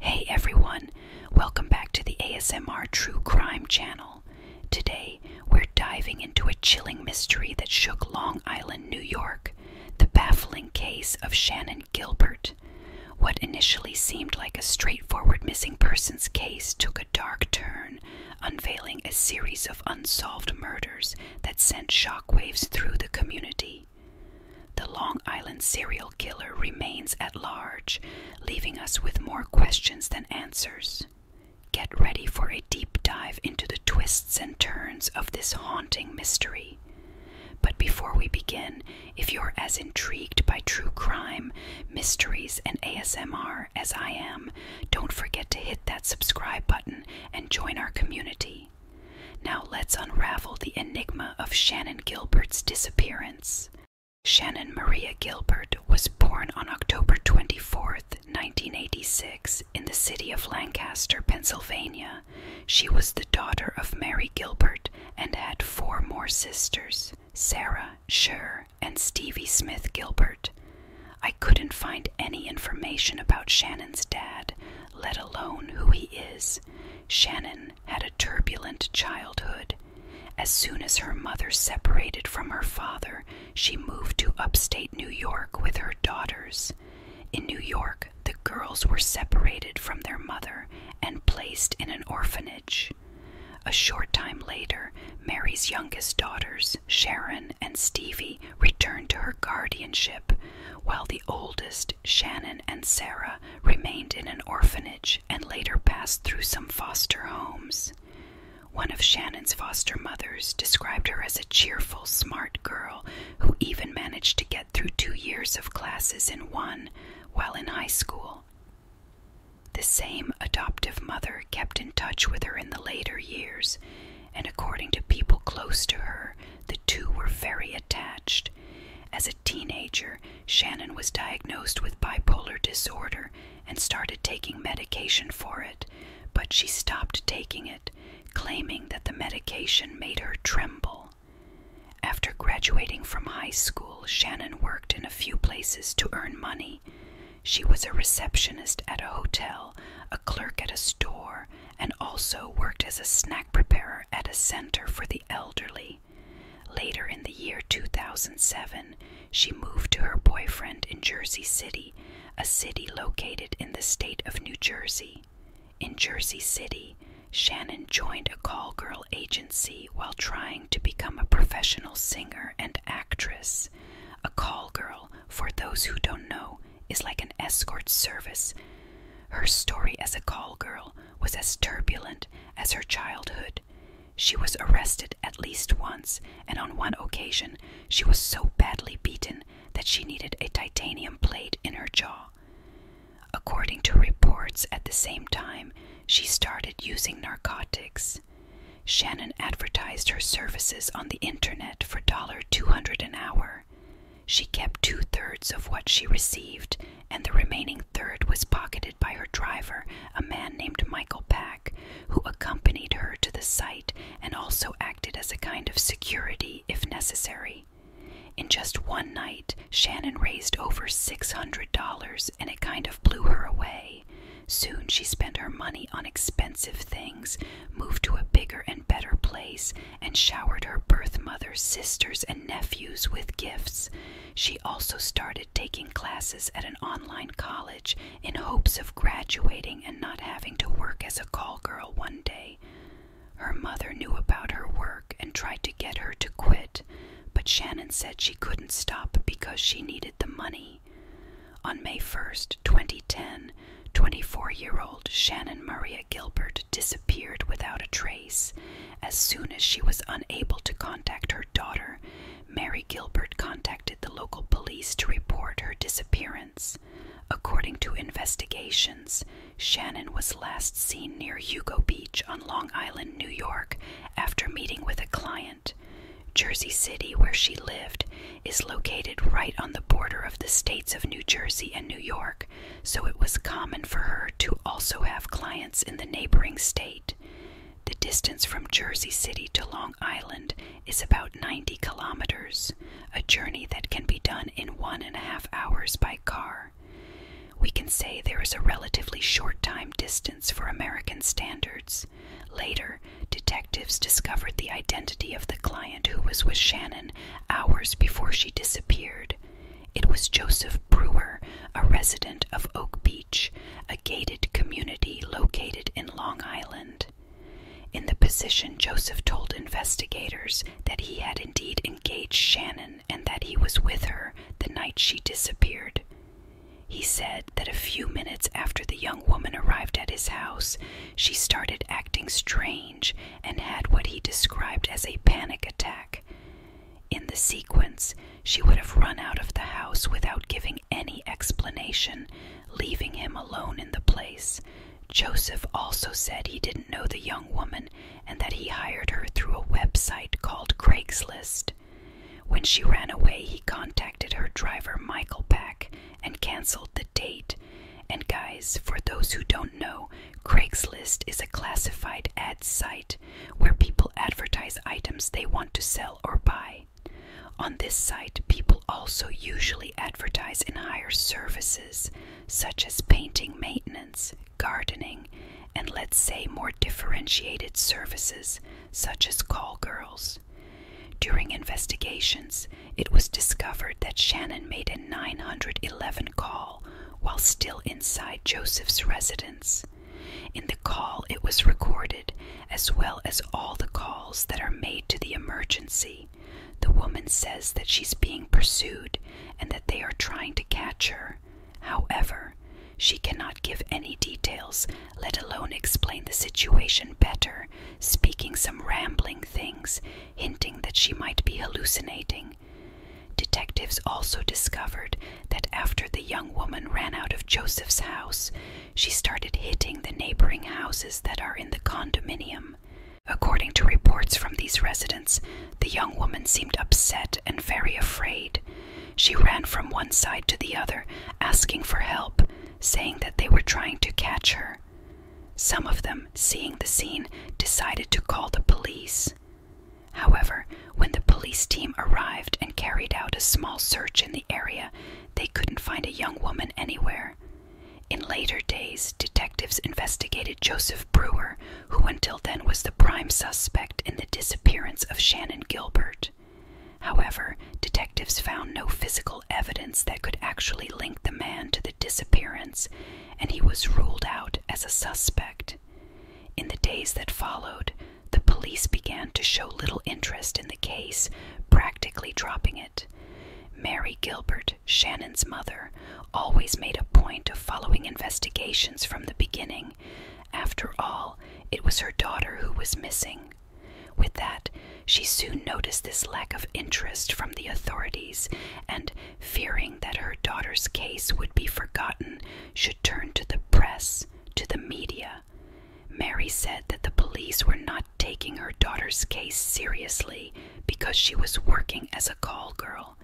Hey everyone, welcome back to the ASMR True Crime channel. Today, we're diving into a chilling mystery that shook Long Island, New York the baffling case of Shannon Gilbert. What initially seemed like a straightforward missing persons case took a dark turn, unveiling a series of unsolved murders that sent shockwaves through the community. The Long Island serial killer remains at large, leaving us with more questions than answers. Get ready for a deep dive into the twists and turns of this haunting mystery. But before we begin, if you're as intrigued by true crime, mysteries, and ASMR as I am, don't forget to hit that subscribe button and join our community. Now let's unravel the enigma of Shannon Gilbert's disappearance. Shannon Maria Gilbert was born on October 24, 1986, in the city of Lancaster, Pennsylvania. She was the daughter of Mary Gilbert and had four more sisters Sarah, Sher, and Stevie Smith Gilbert. I couldn't find any information about Shannon's dad, let alone who he is. Shannon had a turbulent childhood. As soon as her mother separated from her father, she moved to upstate New York with her daughters. In New York, the girls were separated from their mother and placed in an orphanage. A short time later, Mary's youngest daughters, Sharon and Stevie, returned to her guardianship, while the oldest, Shannon and Sarah remained in an orphanage and later passed through some foster homes. One of Shannon's foster mothers described her as a cheerful, smart girl who even managed to get through two years of classes in one while in high school. The same adoptive mother kept in touch with her in the later years, and according to people close to her, the two were very attached. As a teenager, Shannon was diagnosed with bipolar disorder and started taking medication for it, but she stopped taking it, claiming that the medication made her tremble. After graduating from high school, Shannon worked in a few places to earn money. She was a receptionist at a hotel, a clerk at a store, and also worked as a snack preparer at a center for the elderly. Later in the year 2007, she moved to her boyfriend in Jersey City, a city located in the state of New Jersey. In Jersey City, Shannon joined a call girl agency while trying to become a professional singer and actress. A call girl, for those who don't know, is like an escort service. Her story as a call girl was as turbulent as her childhood. She was arrested at least once, and on one occasion, she was so badly beaten that she needed a titanium plate in her jaw. According to reports, at the same time, she started using narcotics. Shannon advertised her services on the internet for $200 an hour. She kept two thirds of what she received and the remaining third was pocketed by her driver, a man named Michael Pack, who accompanied her to the site and also acted as a kind of security if necessary. In just one night, Shannon raised over $600 and it kind of blew her away. Soon she spent her money on expensive things, moved to a bigger and better place, and showered her birth mother, sisters, and nephews with gifts. She also started taking classes at an online college in hopes of graduating and not having to work as a call girl one day. Her mother knew about her work and tried to get her to quit, but Shannon said she couldn't stop because she needed the money. On May 1st, 2010, 24 year old Shannon Maria Gilbert disappeared without a trace. As soon as she was unable to contact her daughter, Mary Gilbert contacted the local police to report her disappearance. According to investigations, Shannon was last seen near Hugo Beach on Long Island, New York, after meeting with a client. Jersey City, where she lived, is located right on the border of the states of New Jersey and New York, so it was common for her to also have clients in the neighboring state. The distance from Jersey City to Long Island is about 90 kilometers, a journey that can be done in one and a half hours by car. We can say there is a relatively short time distance for American standards. Later, detectives discovered the identity of the client who was with Shannon hours before she disappeared. It was Joseph Brewer, a resident of Oak Beach, a gated community located in Long Island. In the position, Joseph told investigators that he had indeed engaged Shannon and that he was with her the night she disappeared. He said that a few minutes after the young woman arrived at his house, she started acting strange and had what he described as a panic attack. In the sequence, she would have run out of the house without giving any explanation, leaving him alone in the place. Joseph also said he didn't know the young woman and that he hired her through a website called Craigslist. When she ran away, he contacted her driver Michael Pack and canceled the date. And, guys, for those who don't know, Craigslist is a classified ad site where people advertise items they want to sell or buy. On this site, people also usually advertise and hire services such as painting maintenance, gardening, and let's say more differentiated services such as call girls. During investigations, it was discovered that Shannon made a 911 call while still inside Joseph's residence. In the call, it was recorded, as well as all the calls that are made to the emergency. The woman says that she's being pursued and that they are trying to catch her. However, she cannot give any details, let alone explain the situation better, speaking some rambling things, hinting that she might be hallucinating. Detectives also discovered that after the young woman ran out of Joseph's house, she started hitting the neighboring houses that are in the condominium. According to reports from these residents, the young woman seemed upset and very afraid. She ran from one side to the other, asking for help, saying that they were trying to catch her. Some of them, seeing the scene, decided to call the police. However, when the police team arrived and carried out a small search in the area, they couldn't find a young woman anywhere. In later days, detectives investigated Joseph Brewer, who until then was the prime suspect in the disappearance of Shannon Gilbert. However, detectives found no physical evidence that could actually link the man to the disappearance, and he was ruled out as a suspect. In the days that followed, the police began to show little interest in the case, practically dropping it. Mary Gilbert, Shannon's mother, always made a point of following investigations from the beginning. After all, it was her daughter who was missing. With that, she soon noticed this lack of interest from the authorities, and fearing that her daughter's case would be forgotten, should turn to the press, to the media. Mary said that the police were not taking her daughter's case seriously because she was working as a call girl.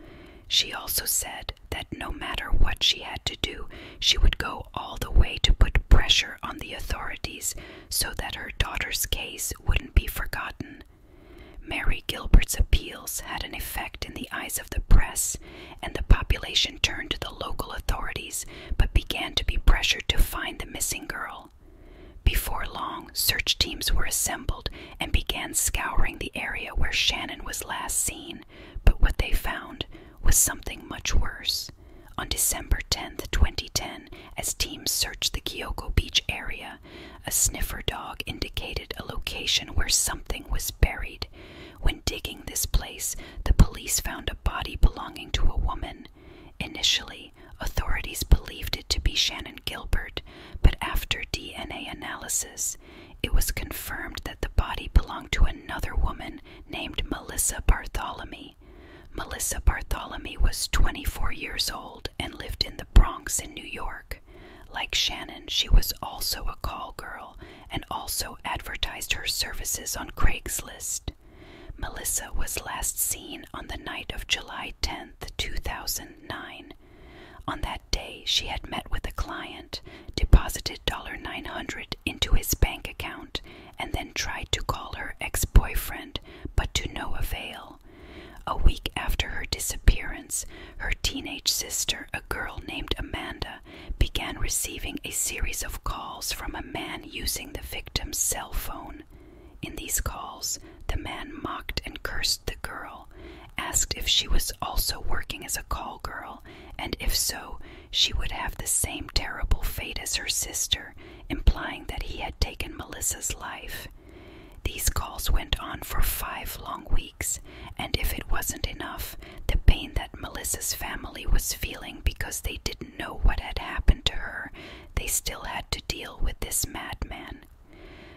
She also said that no matter what she had to do, she would go all the way to put pressure on the authorities so that her daughter's case wouldn't be forgotten. Mary Gilbert's appeals had an effect in the eyes of the press and the population turned to the local authorities but began to be pressured to find the missing girl. Before long, search teams were assembled and began scouring the area where Shannon was last seen, but what they found was something much worse. On December 10, 2010, as teams searched the Kioko Beach area, a sniffer dog indicated a location where something was buried, when digging this place, the police found a body belonging to a woman. Initially, authorities believed it to be Shannon Gilbert, but after DNA analysis, it was confirmed that the body belonged to another woman named Melissa Bartholomew. Melissa Bartholomew was 24 years old and lived in the Bronx in New York. Like Shannon, she was also a call girl and also advertised her services on Craigslist. Melissa was last seen on the night of July tenth, two 2009. On that day, she had met with a client, deposited $900 into his bank account, and then tried to call her ex boyfriend, but to no avail. A week after her disappearance, her teenage sister, a girl named Amanda, began receiving a series of calls from a man using the victim's cell phone. In these calls, the man mocked and cursed the girl, asked if she was also working as a call girl, and if so, she would have the same terrible fate as her sister, implying that he had taken Melissa's life. These calls went on for five long weeks and if it wasn't enough, the pain that Melissa's family was feeling because they didn't know what had happened to her, they still had to deal with this madman.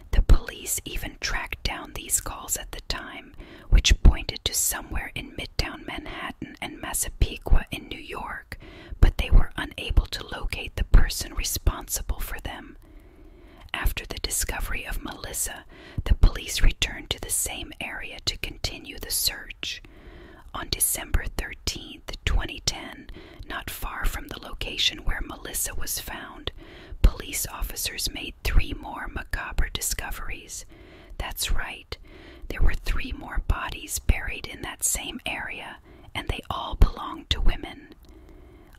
The police even tracked down these calls at the time, which pointed to somewhere in Midtown Manhattan and Massapequa in New York, but they were unable to locate the person responsible for them. After the discovery of Melissa, the police returned to the same area to continue the search. On December 13, 2010, not far from the location where Melissa was found, police officers made three more macabre discoveries. That's right, there were three more bodies buried in that same area, and they all belonged to women.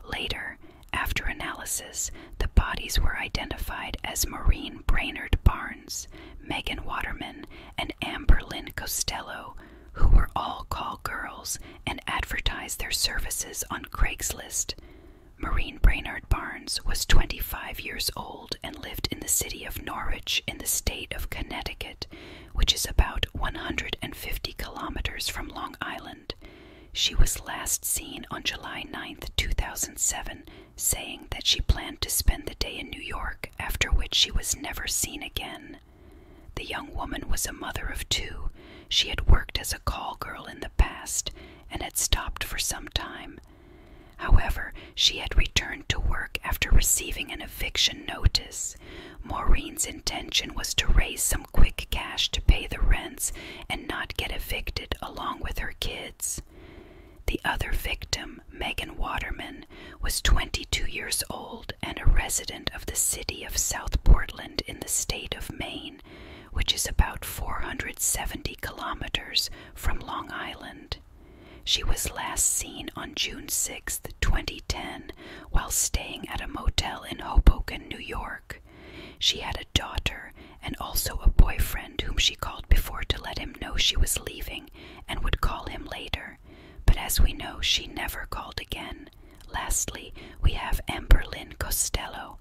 Later, after analysis, the bodies were identified as Marine Brainerd Barnes, Megan Waterman, and Amber Lynn Costello, who were all call girls and advertised their services on Craigslist. Marine Brainerd Barnes was 25 years old and lived in the city of Norwich in the state of Connecticut, which is about 150 kilometers from Long Island. She was last seen on July 9, 2007, saying that she planned to spend the day in New York, after which she was never seen again. The young woman was a mother of two. She had worked as a call girl in the past and had stopped for some time. However, she had returned to work after receiving an eviction notice. Maureen's intention was to raise some quick cash to pay the rents and not get evicted along with her kids. The other victim, Megan Waterman, was 22 years old and a resident of the city of South Portland in the state of Maine, which is about 470 kilometers from Long Island. She was last seen on June 6, 2010, while staying at a motel in Hoboken, New York. She had a daughter and also a boyfriend whom she called before to let him know she was leaving and would call him later. But as we know, she never called again. Lastly, we have Amberlynn Costello,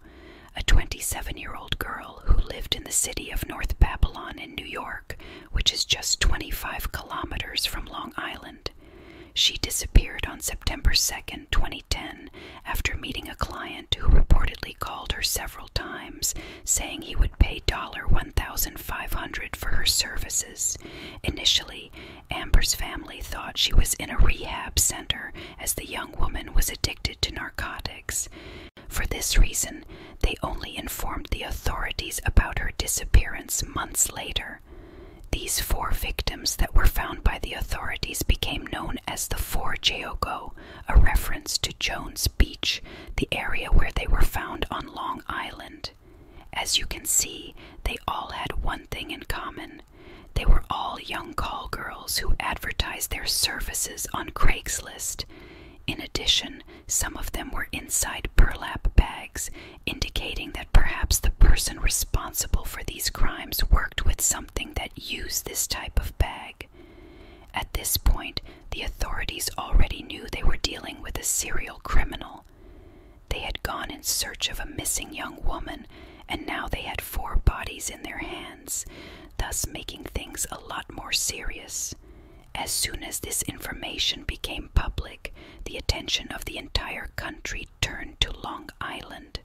a 27 year old girl who lived in the city of North Babylon in New York, which is just 25 kilometers from Long Island. She disappeared on September 2, 2010, after meeting a client who reportedly called her several times saying he would pay $1,500 for her services. Initially, Amber's family thought she was in a rehab center as the young woman was addicted to narcotics. For this reason, they only informed the authorities about her disappearance months later. These four victims that were found by the authorities became known as the Four Jeogo, a reference to Jones Beach, the area where they were found on Long Island. As you can see, they all had one thing in common. They were all young call girls who advertised their services on Craigslist. In addition, some of them were inside burlap bags, indicating that perhaps the person responsible for these crimes worked with something that used this type of bag. At this point, the authorities already knew they were dealing with a serial criminal. They had gone in search of a missing young woman, and now they had four bodies in their hands, thus making things a lot more serious. As soon as this information became public, the attention of the entire country turned to Long Island.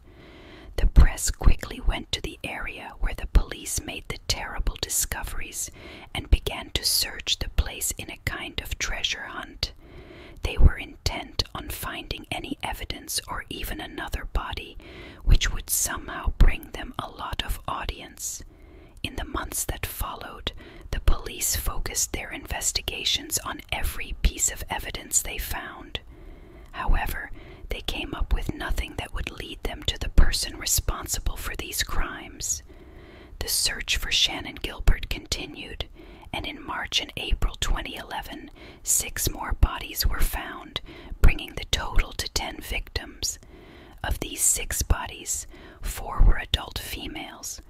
The press quickly went to the area where the police made the terrible discoveries and began to search the place in a kind of treasure hunt. They were intent on finding any evidence or even another body which would somehow bring them a lot of audience. In the months that followed, the police focused their investigations on every piece of evidence they found. However, they came up with nothing that would lead them to the person responsible for these crimes. The search for Shannon Gilbert continued, and in March and April 2011, six more bodies were found, bringing the total to 10 victims. Of these six bodies, four were adult females.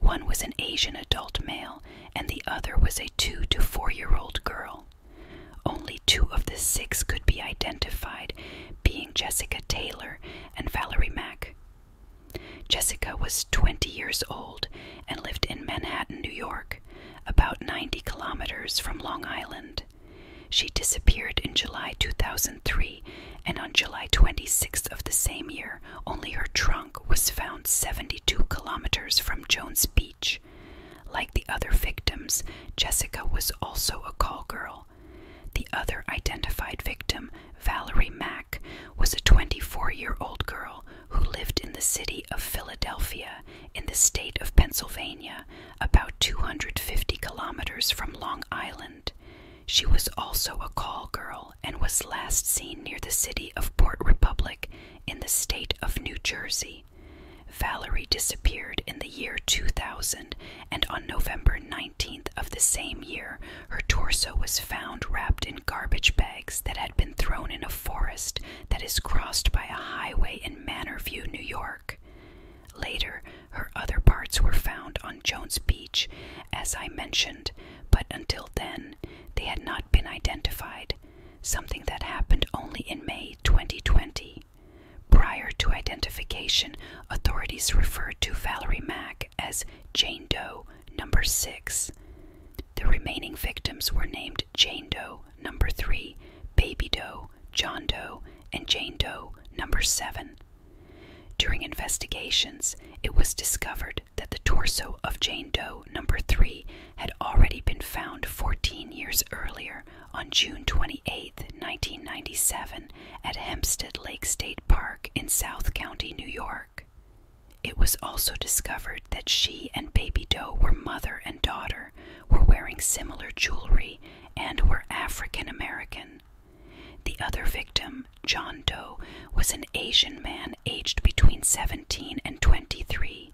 One was an Asian adult male, and the other was a two to four year old girl. Only two of the six could be identified, being Jessica Taylor and Valerie Mack. Jessica was 20 years old and lived in Manhattan, New York, about 90 kilometers from Long Island. She disappeared in July 2003, and on July 26th of the same year, only her trunk was found 72 kilometers from Jones Beach. Like the other victims, Jessica was also a call girl. The other identified victim, Valerie Mack, was a 24 year old girl who lived in the city of Philadelphia in the state of Pennsylvania, about 250 kilometers from Long Island. She was also a call girl and was last seen near the city of Port Republic in the state of New Jersey. Valerie disappeared in the year 2000, and on November 19th of the same year, her torso was found wrapped in garbage bags that had been thrown in a forest that is crossed by a highway in Manorview, New York. Later, her other parts were found on Jones Beach, as I mentioned, but until then, they had not been identified, something that happened only in May 2020. Prior to identification, authorities referred to Valerie Mack as Jane Doe Number 6. The remaining victims were named Jane Doe Number 3, Baby Doe, John Doe, and Jane Doe Number 7. During investigations, it was discovered that the torso of Jane Doe Number 3 had already been found 14 years earlier on June 28, 1997, at Hempstead Lake State Park in South County, New York, it was also discovered that she and Baby Doe were mother and daughter, were wearing similar jewelry, and were African American. The other victim, John Doe, was an Asian man aged between 17 and 23.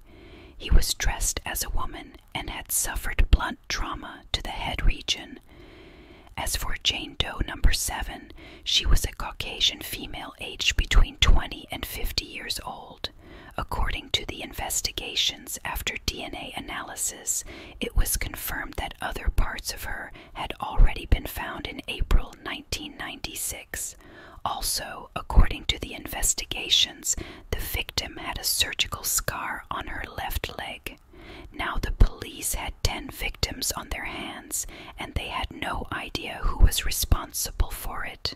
He was dressed as a woman and had suffered blunt trauma to the head region. As for Jane Doe number 7, she was a Caucasian female aged between 20 and 50 years old. According to the investigations after DNA analysis, it was confirmed that other parts of her had already been found in April 1996. Also, according to the investigations, the victim had a surgical scar on her left leg. Now the police had 10 victims on their hands and they had no idea who was responsible for it.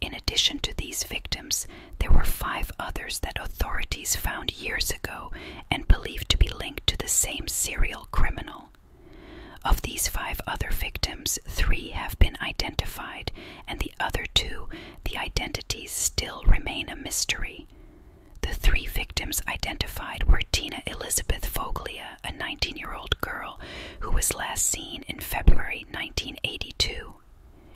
In addition to these victims, there were five others that authorities found years ago and believed to be linked to the same serial criminal. Of these five other victims, three have been identified, and the other two the identities still remain a mystery. The three victims identified were Tina Elizabeth Foglia, a 19 year old girl who was last seen in February 1982.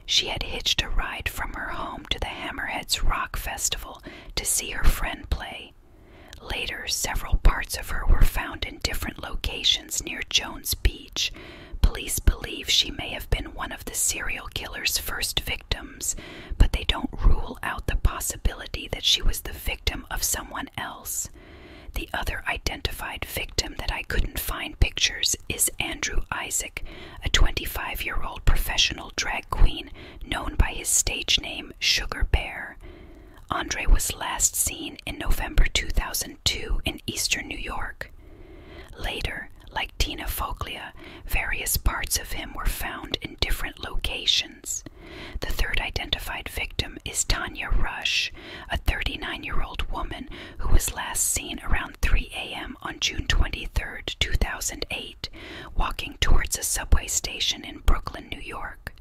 She had hitched a ride from her home to the Hammerheads Rock Festival to see her friend play. Later, several parts of her were found in different locations near Jones Beach. Police believe she may have been one of the serial killer's first victims, but they don't rule out the possibility that she was the victim of someone else. The other identified victim that I couldn't find pictures is Andrew Isaac, a 25 year old professional drag queen known by his stage name Sugar Bear. Andre was last seen in November 2002 in eastern New York. Later, like Tina Foglia, various parts of him were found in different locations. The third identified victim is Tanya Rush, a 39 year old woman who was last seen around 3 a.m. on June 23, 2008, walking towards a subway station in Brooklyn, New York.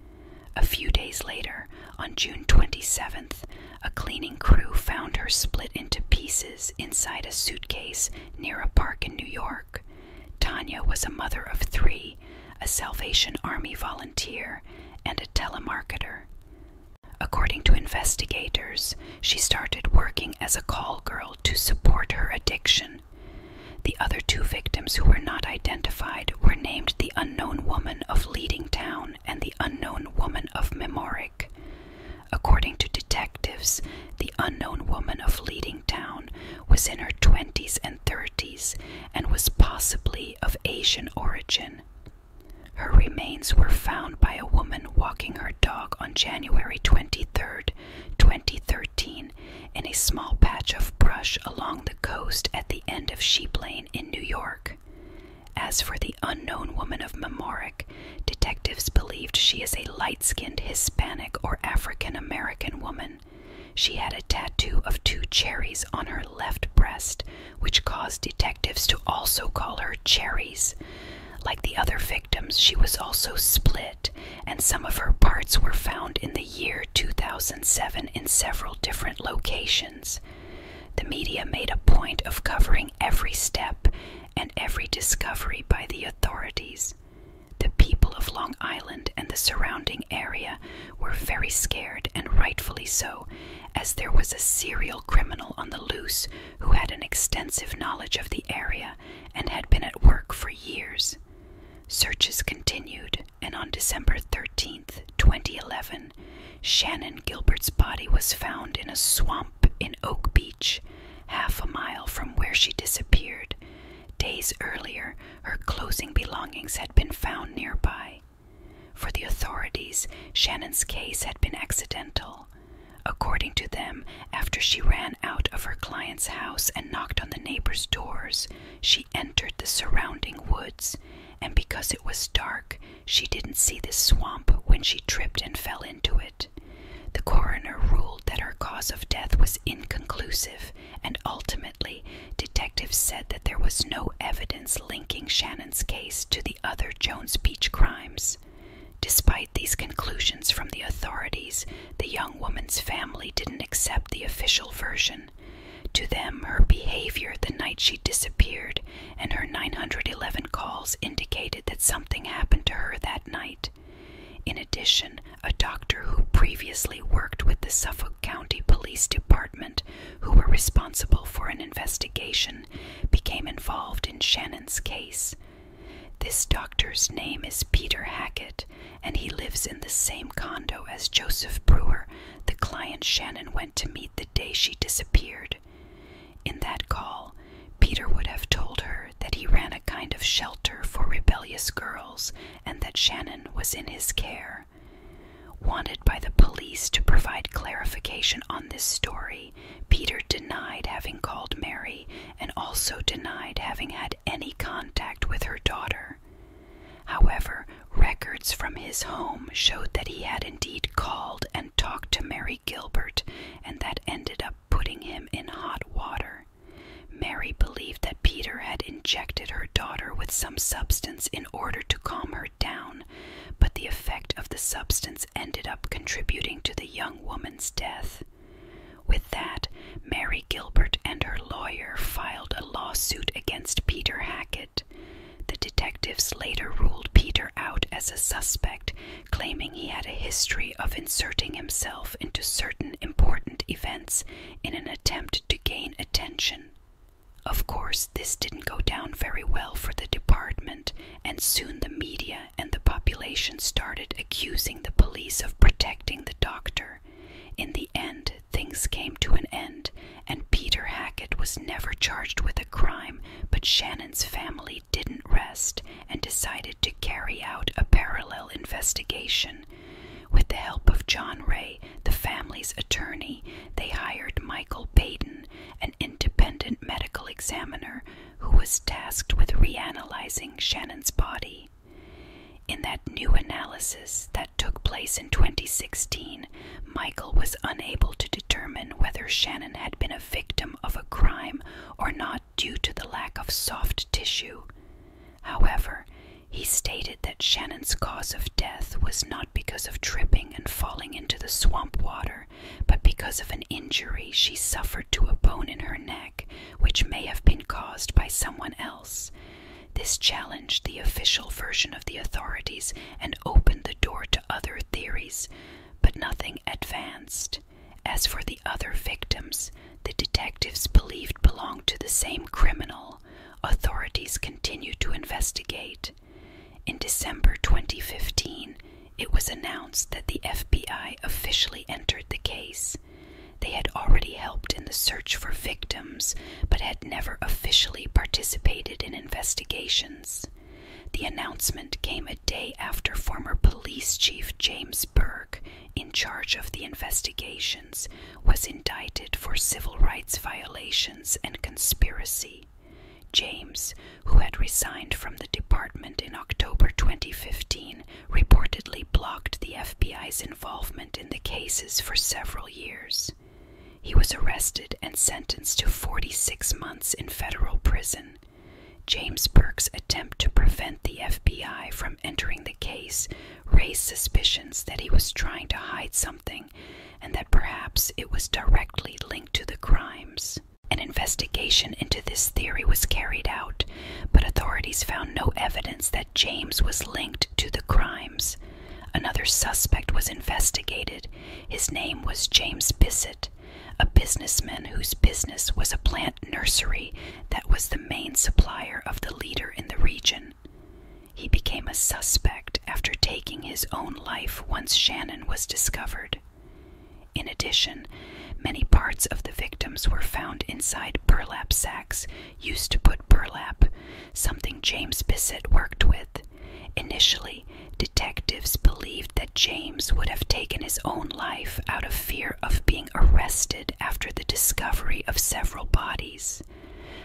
A few days later, on June 27th, a cleaning crew found her split into pieces inside a suitcase near a park in New York. Tanya was a mother of three, a Salvation Army volunteer, and a telemarketer. According to investigators, she started working as a call girl to support her addiction. The other two victims who were not identified were named the Unknown Woman of Leading Town and the Unknown Woman of Memore. According to detectives, the unknown woman of Leading Town was in her 20s and 30s and was possibly of Asian origin. Her remains were found by a woman walking her dog on January 23, 2013, in a small patch of brush along the coast at the end of Sheep Lane in New York. As for the unknown woman of Memoric, detectives believed she is a light skinned Hispanic or African American woman. She had a tattoo of two cherries on her left breast, which caused detectives to also call her Cherries. Like the other victims, she was also split, and some of her parts were found in the year 2007 in several different locations. The media made a point of covering every step and every discovery by the authorities. The people of Long Island and the surrounding area were very scared, and rightfully so, as there was a serial criminal on the loose who had an extensive knowledge of the area and had been at work for years. Searches continued, and on December 13, 2011, Shannon Gilbert's body was found in a swamp in Oak Beach, half a mile from where she disappeared. Days earlier, her closing belongings had been found nearby. For the authorities, Shannon's case had been accidental. According to them, after she ran out of her client's house and knocked on the neighbors' doors, she entered the surrounding woods, and because it was dark, she didn't see the swamp when she tripped and fell into it. The coroner ruled that her cause of death was inconclusive, and ultimately, detectives said that there was no evidence linking Shannon's case to the other Jones Beach crimes. Despite these conclusions from the authorities, the young woman's family didn't accept the official version. To them, her behavior the night she disappeared and her 911 calls indicated that something happened to her that night. In addition, a doctor who previously worked with the Suffolk County Police Department, who were responsible for an investigation, became involved in Shannon's case. This doctor's name is Peter Hackett, and he lives in the same condo as Joseph Brewer, the client Shannon went to meet the day she disappeared. In that call, Peter would have told her that he ran a kind of shelter for rebellious girls and that Shannon was in his care. Wanted by the police to provide clarification on this story, Peter denied having called Mary and also denied having had any contact with her daughter. However, records from his home showed that he had indeed called and talked to Mary Gilbert and that ended up putting him in hot water. Mary believed that Peter had injected her daughter with some substance in order to calm her down, but the effect of the substance ended up contributing to the young woman's death. With that, Mary Gilbert and her lawyer filed a lawsuit against Peter Hackett. The detectives later ruled Peter out as a suspect claiming he had a history of inserting himself into certain important events in an attempt to gain attention. Of course, this didn't go down very well for the department, and soon the media and the population started accusing the police of protecting the doctor. In the end, things came to an end, and Peter Hackett was never charged with a crime, but Shannon's family didn't rest and decided to carry out a parallel investigation. With the help of John Ray, the family's attorney, they hired Michael Payton, an independent medical examiner who was tasked with reanalyzing Shannon's body. In that new analysis that took place in 2016, Michael was unable to determine whether Shannon had been a victim of a crime or not due to the lack of soft tissue. However, he stated that Shannon's cause of death was not because of tripping and falling into the swamp water, but because of an injury she suffered to a bone in her neck, which may have been caused by someone else. This challenged the official version of the authorities and opened the door to other theories, but nothing advanced. As for the other victims, the detectives believed belonged to the same criminal. Authorities continue to investigate. In December 2015, it was announced that the FBI officially entered the case. They had already helped in the search for victims, but had never officially participated in investigations. The announcement came a day after former police chief James Burke, in charge of the investigations, was indicted for civil rights violations and conspiracy. James, who had resigned from the department in October 2015, reportedly blocked the FBI's involvement in the cases for several years. He was arrested and sentenced to 46 months in federal prison, James Burke's attempt to prevent the FBI from entering the case raised suspicions that he was trying to hide something and that perhaps it was directly linked to the crimes. An investigation into this theory was carried out, but authorities found no evidence that James was linked to the crimes. Another suspect was investigated. His name was James Bissett, a businessman whose business was a plant nursery that was the main supplier of the leader in the region. He became a suspect after taking his own life once Shannon was discovered. In addition, many parts of the victims were found inside burlap sacks used to put burlap, something James Bissett worked with. Initially detectives believed that James would have taken his own life out of fear of being arrested after the discovery of several bodies.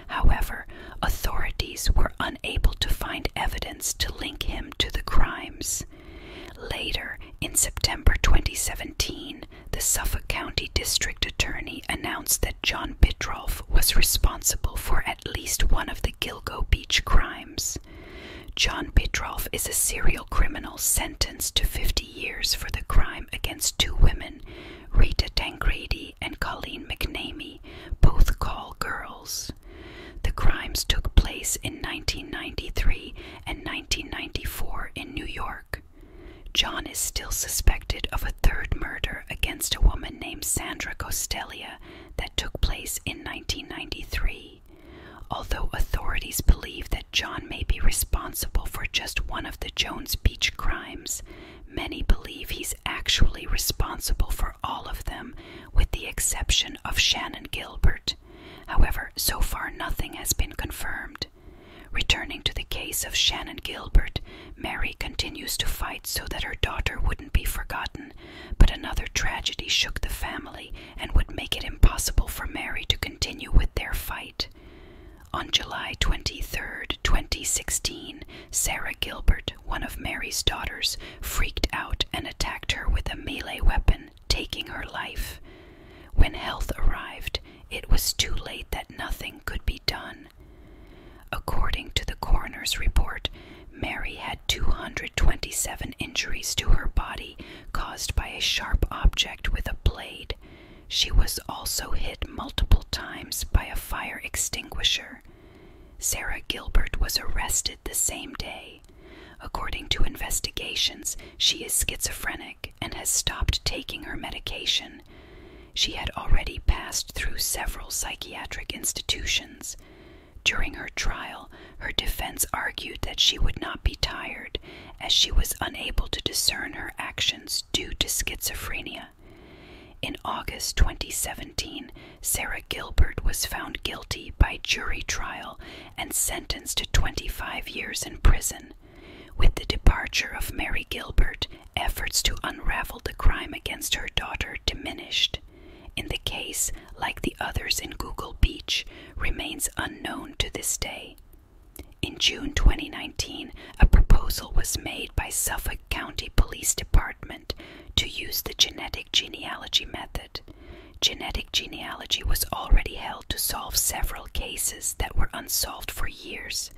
However, authorities were unable to find evidence to link him to the crimes. Later, in September 2017, the Suffolk County District Attorney announced that John Bidroff was responsible for at least one of the Gilgo Beach crimes. John Petrov is a serial criminal sentenced to 50 years for the crime against two women, Rita Tangrady and Colleen McNamee, both call girls. The crimes took place in 1993 and 1994 in New York. John is still suspected of a third murder against a woman named Sandra Costelia that took place in 1993. Although authorities believe that John may be responsible for just one of the Jones Beach crimes, many believe he's actually responsible for all of them, with the exception of Shannon Gilbert. However, so far nothing has been confirmed. Returning to the case of Shannon Gilbert, Mary continues to fight so that her daughter wouldn't be forgotten, but another tragedy shook the family and would make it impossible for Mary to continue with their fight. On July 23, 2016, Sarah Gilbert, one of Mary's daughters, freaked out and attacked her with a melee weapon, taking her life. When health arrived, it was too late that nothing could be done. According to the coroner's report, Mary had 227 injuries to her body caused by a sharp object with a blade. She was also hit multiple times by a fire extinguisher. Sarah Gilbert was arrested the same day. According to investigations, she is schizophrenic and has stopped taking her medication. She had already passed through several psychiatric institutions. During her trial, her defense argued that she would not be tired, as she was unable to discern her actions due to schizophrenia. In August 2017, Sarah Gilbert was found guilty by jury trial and sentenced to 25 years in prison. With the departure of Mary Gilbert, efforts to unravel the crime against her daughter diminished. In the case, like the others in Google Beach, remains unknown to this day. In June 2019, a proposal was made by Suffolk County Police Department to use the genetic genealogy method. Genetic genealogy was already held to solve several cases that were unsolved for years.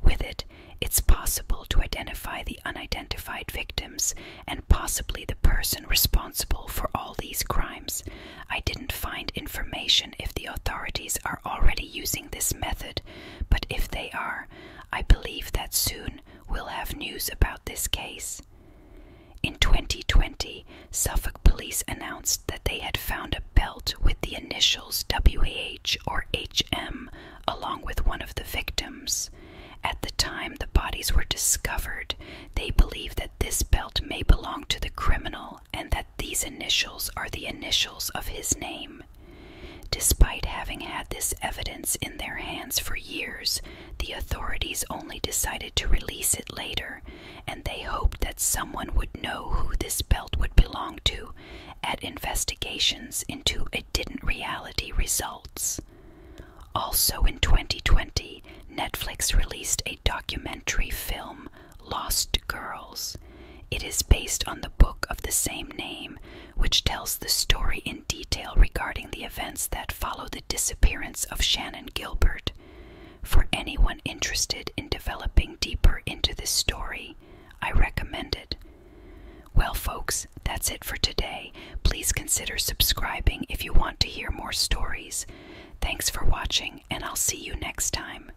With it, it's possible to identify the unidentified victims and possibly the person responsible for all these crimes. I didn't find information if the authorities are already using this method, but if they are, I believe that soon we'll have news about this case. In 2020, Suffolk police announced that they had found a belt with the initials WAH or HM along with one of the victims. At the time the bodies were discovered, they believed that this belt may belong to the criminal and that these initials are the initials of his name. Despite having had this evidence in their hands for years, the authorities only decided to release it later, and they hoped that someone would know who this belt would belong to at investigations into it didn't reality results. Also in 2020, Netflix released a documentary film, Lost Girls. It is based on the book of the same name, which tells the story in detail regarding the events that follow the disappearance of Shannon Gilbert. For anyone interested in developing deeper into this story, I recommend it. Well, folks, that's it for today. Please consider subscribing if you want to hear more stories. Thanks for watching, and I'll see you next time.